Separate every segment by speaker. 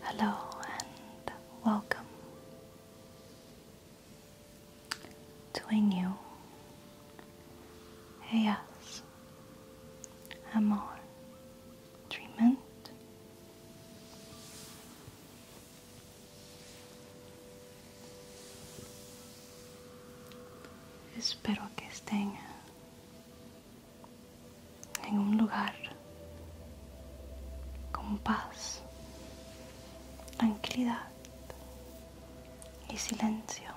Speaker 1: Hello and welcome. Sueño. Ellas. Amor. Treatment. Espero que estén en un lugar con paz, tranquilidad y silencio.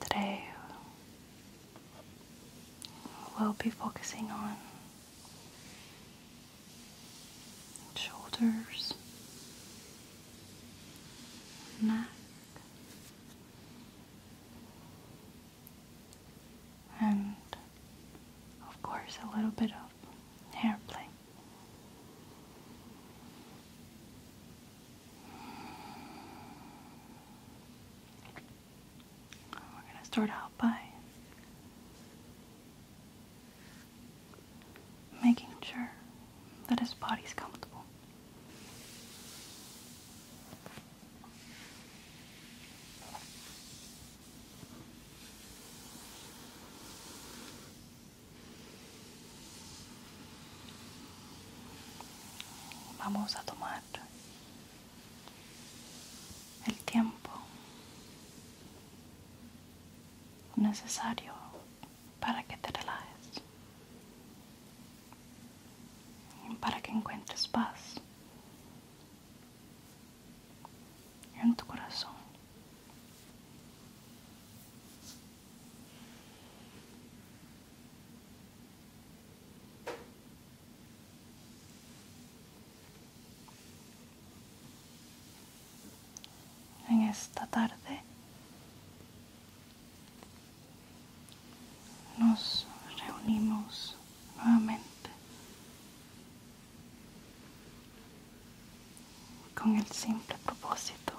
Speaker 1: Today, we'll be focusing on shoulders, neck, and of course a little bit of hair play. We're going to start out by making sure that his body's comfortable. Vamos a tomar el tiempo necesario para que te relajes para que encuentres paz en tu corazón. En esta tarde nos reunimos nuevamente con el simple propósito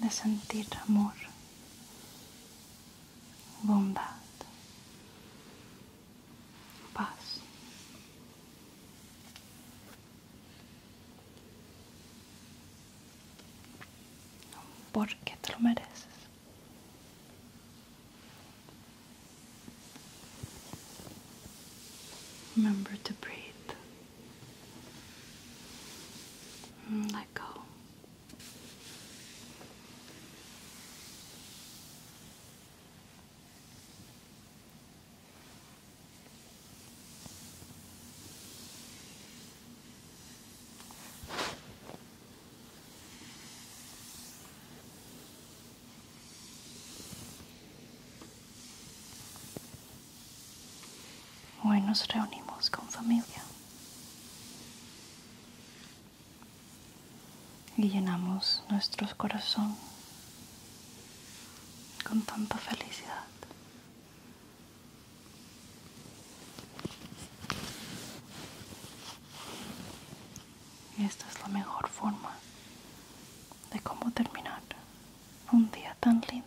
Speaker 1: de sentir amor, bondad, Pause. Porque te lo mereces. Remember to breathe. Mm, let go. Hoy nos reunimos con familia y llenamos nuestros corazones con tanta felicidad. Y esta es la mejor forma de cómo terminar un día tan lindo.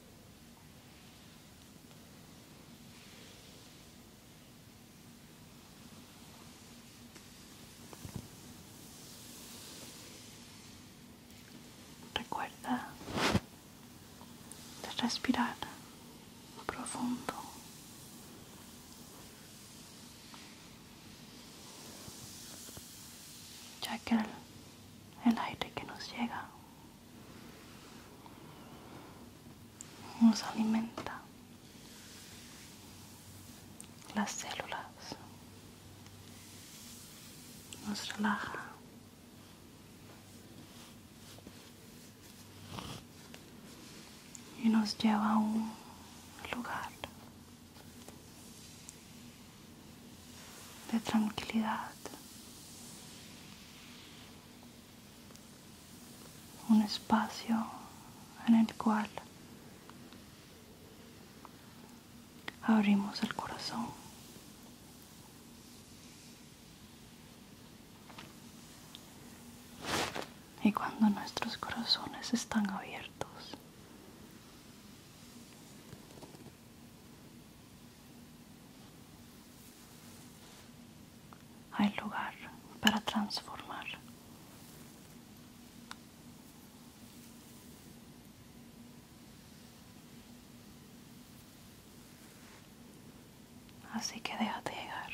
Speaker 1: Recuerda de respirar profundo. Ya que el, aire que nos llega nos alimenta las células, nos relaja. Y nos lleva a un lugar de tranquilidad, un espacio en el cual abrimos el corazón. Y cuando nuestros corazones están abiertos, hay lugar para transformar. Así que déjate llegar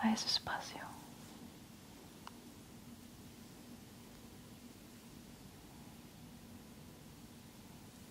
Speaker 1: a ese espacio.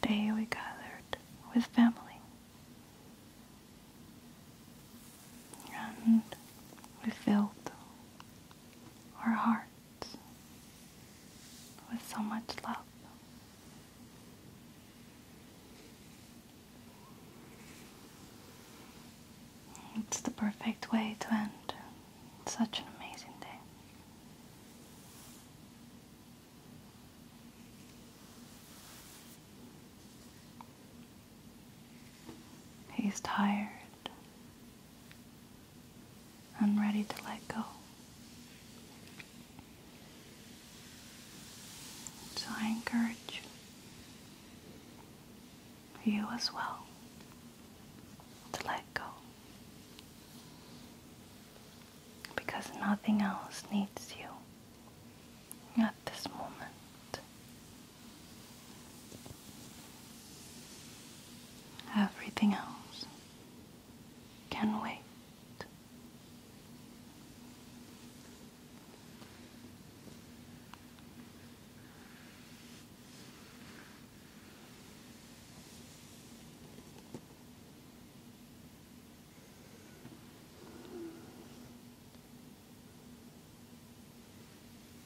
Speaker 1: Today we gathered with family and we filled our hearts with so much love. It's the perfect way to end such an amazing day. He's tired. I'm ready to let go. So I encourage you as well to let go. Because nothing else needs you at this moment. Everything else can wait.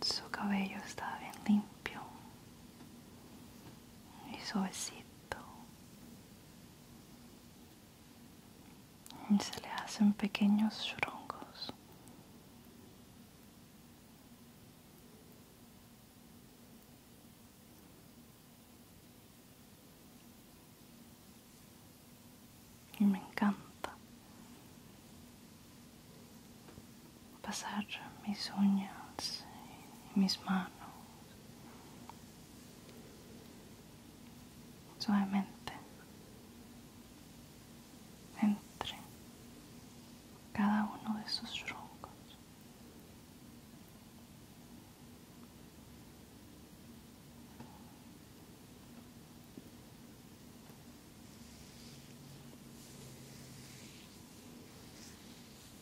Speaker 1: Su cabello está bien limpio y suavecito y se le hacen pequeños churongos. Y me encanta pasar mis uñas y mis manos Suavemente. Entre cada uno de sus troncos.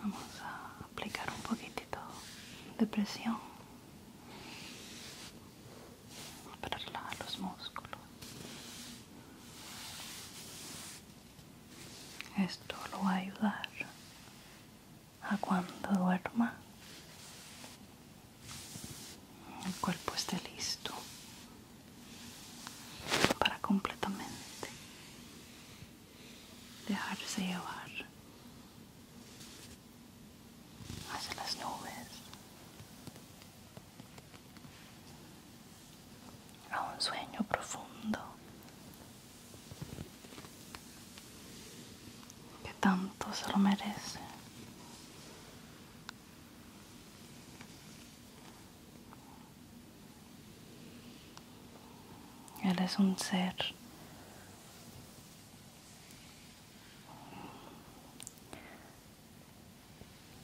Speaker 1: Vamos a aplicar un poquitito de presión para relajar los músculos. Esto lo va a ayudar a cuando duerma el cuerpo esté listo para completamente dejarse llevar hacia las nubes a un sueño profundo que tanto se lo merece él es un ser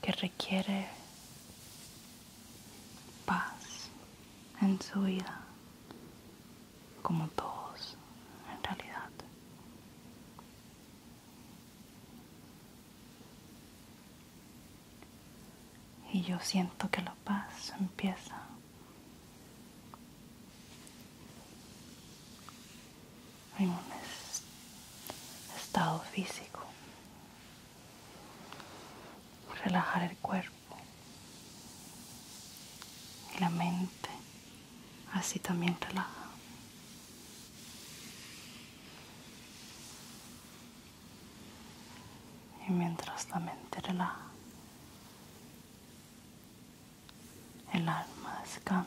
Speaker 1: que requiere paz en su vida, como todos en realidad. Y yo siento que la paz empieza en un estado físico. Relajar el cuerpo y la mente así también relaja. Y mientras la mente relaja, el alma descansa.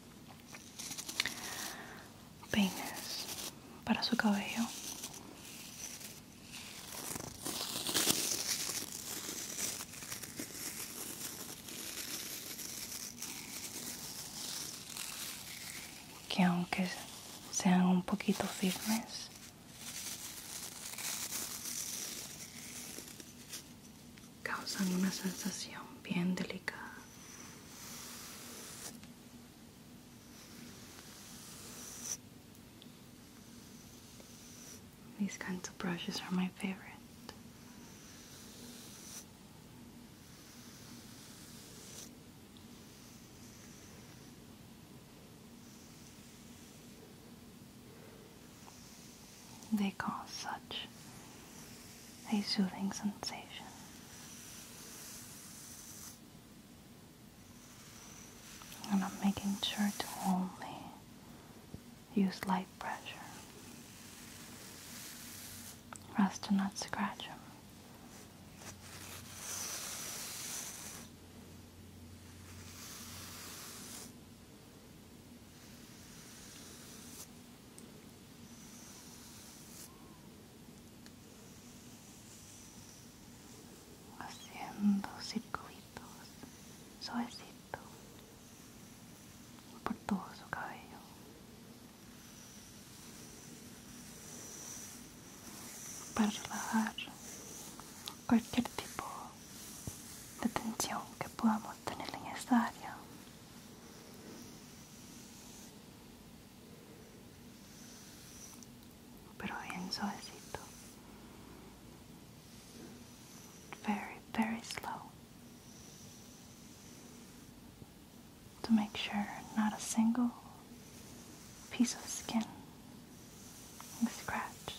Speaker 1: peines para su cabello. Que aunque sean un poquito firmes, causan una sensación bien delicada. These kinds of brushes are my favorite. They cause such a soothing sensation. And I'm making sure to only use light pressure for us to not scratch him. haciendo circuitos suavecito por todo su cabello para relajar cualquier tipo de tensión que podamos tener en esta área Very, very slow. To make sure not a single piece of skin is scratched.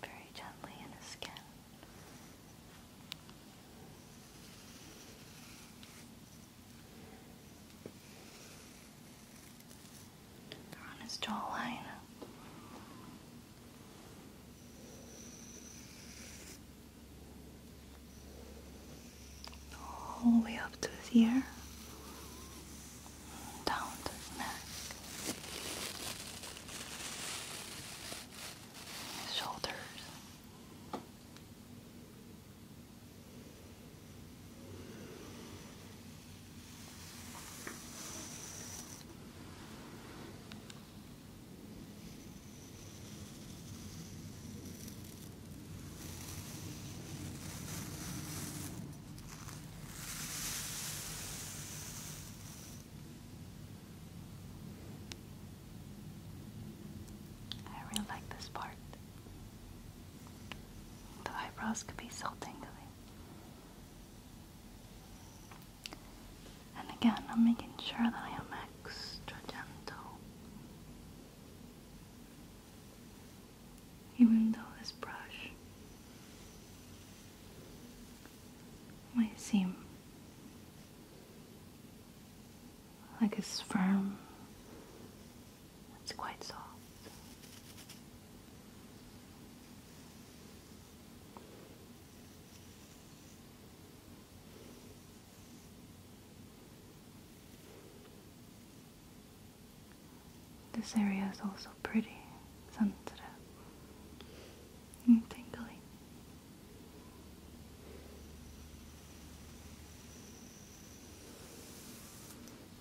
Speaker 1: Very gently in his skin. Good on his jawline. All the way up to his ear. Down to neck. His shoulders. I really like this part. The eyebrows could be so tingly. And again, I'm making sure that I am extra gentle. Even though this brush might seem like it's firm, it's quite soft. This area is also pretty sensitive and tingly.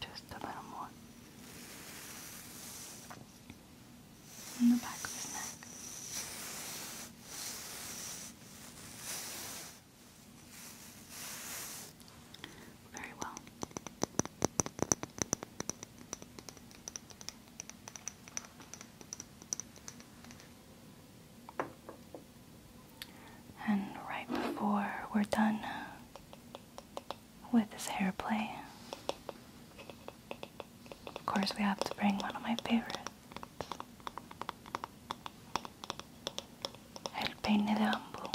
Speaker 1: just a little more on the back of his neck. Very well. And right before we're done, uh, with this hair play. Of course, we have to bring one of my favorites El peine de bambú.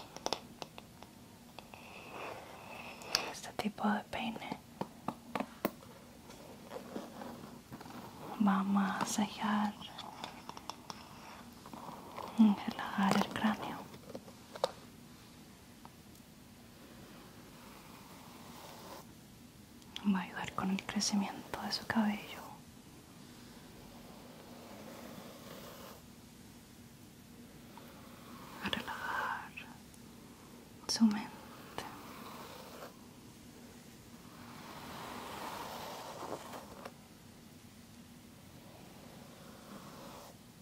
Speaker 1: Este tipo de peine va a masajear y relajar el cráneo Va a ayudar con el crecimiento de su cabello. A relajar su mente.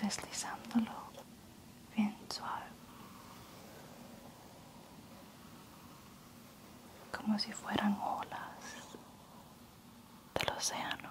Speaker 1: deslizándolo bien suave, como si fueran olas del océano.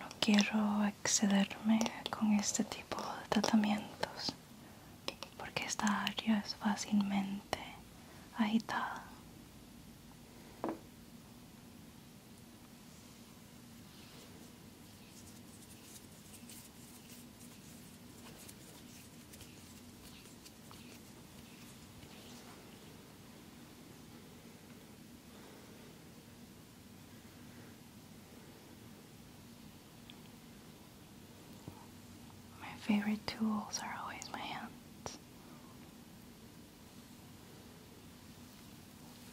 Speaker 1: No quiero excederme con este tipo de tratamientos porque esta área es fácilmente agitada. My favorite tools are always my hands.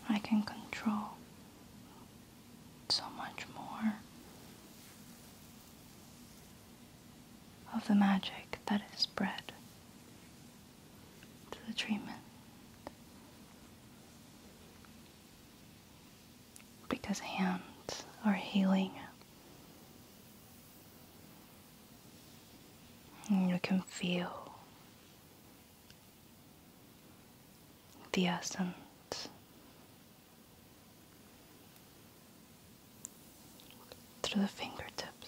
Speaker 1: I can control so much more of the magic that is spread to the treatment because hands are healing. you can feel the essence through the fingertips.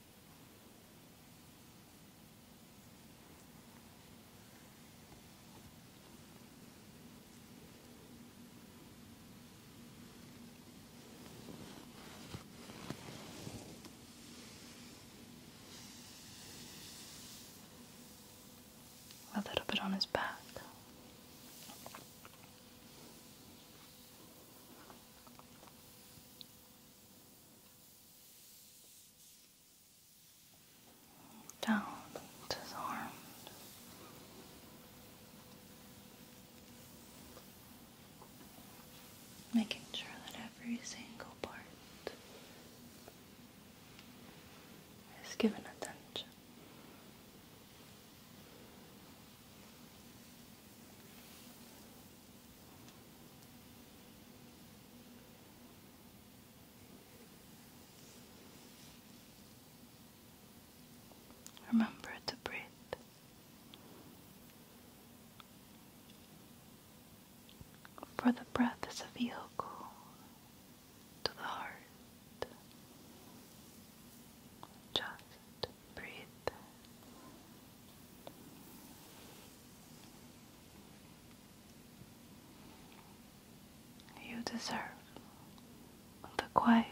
Speaker 1: A little bit on his back down to his arms. Making sure that every single part is given attention. Remember to breathe. For the breath is a vehicle to the heart. Just to breathe. You deserve the quiet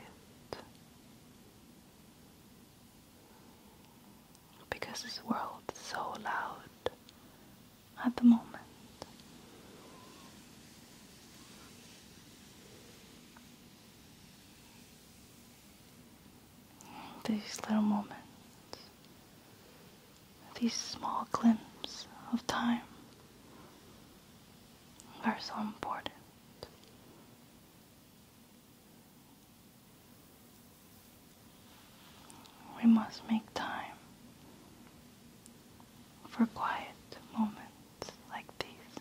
Speaker 1: because this world is so loud at the moment. These little moments, these small glimpses of time are so important. We must make time for quiet moments like these.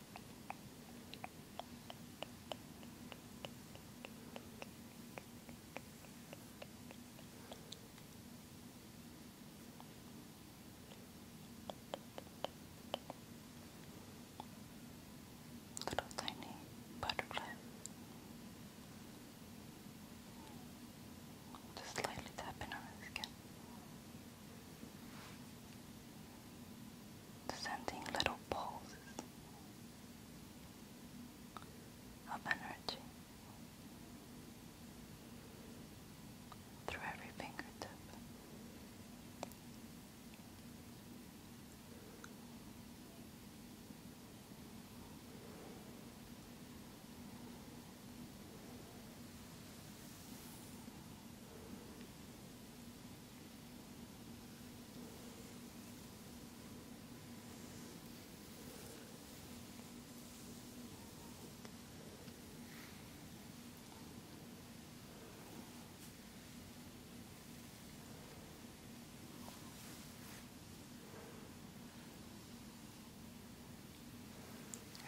Speaker 1: Little tiny butterfly. Just lightly tapping on the skin sending little pulses of energy through every fingertip.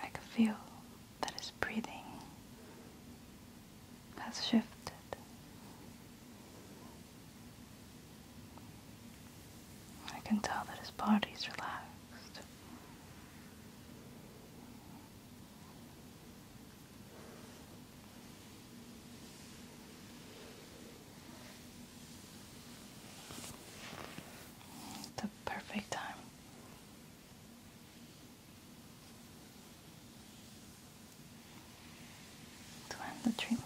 Speaker 1: I can feel that is breathing has shifted. I can tell that his body is relaxed. It's perfect time to end the treatment.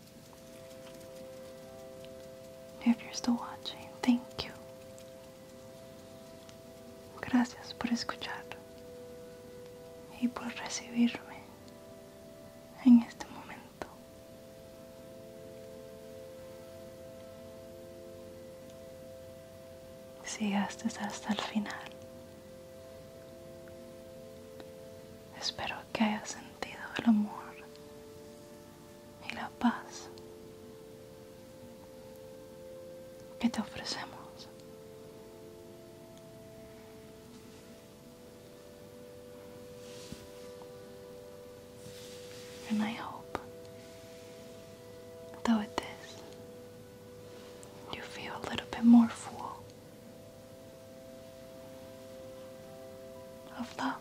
Speaker 1: If you're still watching, thank you. Gracias por escuchar y por recibirme en este momento. Sigaste hasta el final, espero que hayas sentido el amor y la paz que te ofrecemos. And I hope, though it is, you feel a little bit more full of love.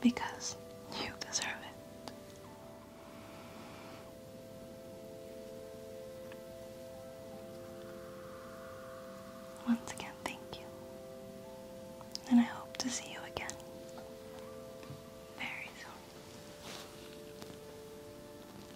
Speaker 1: Because you deserve it. Once again, thank you. And I hope to see you again very soon.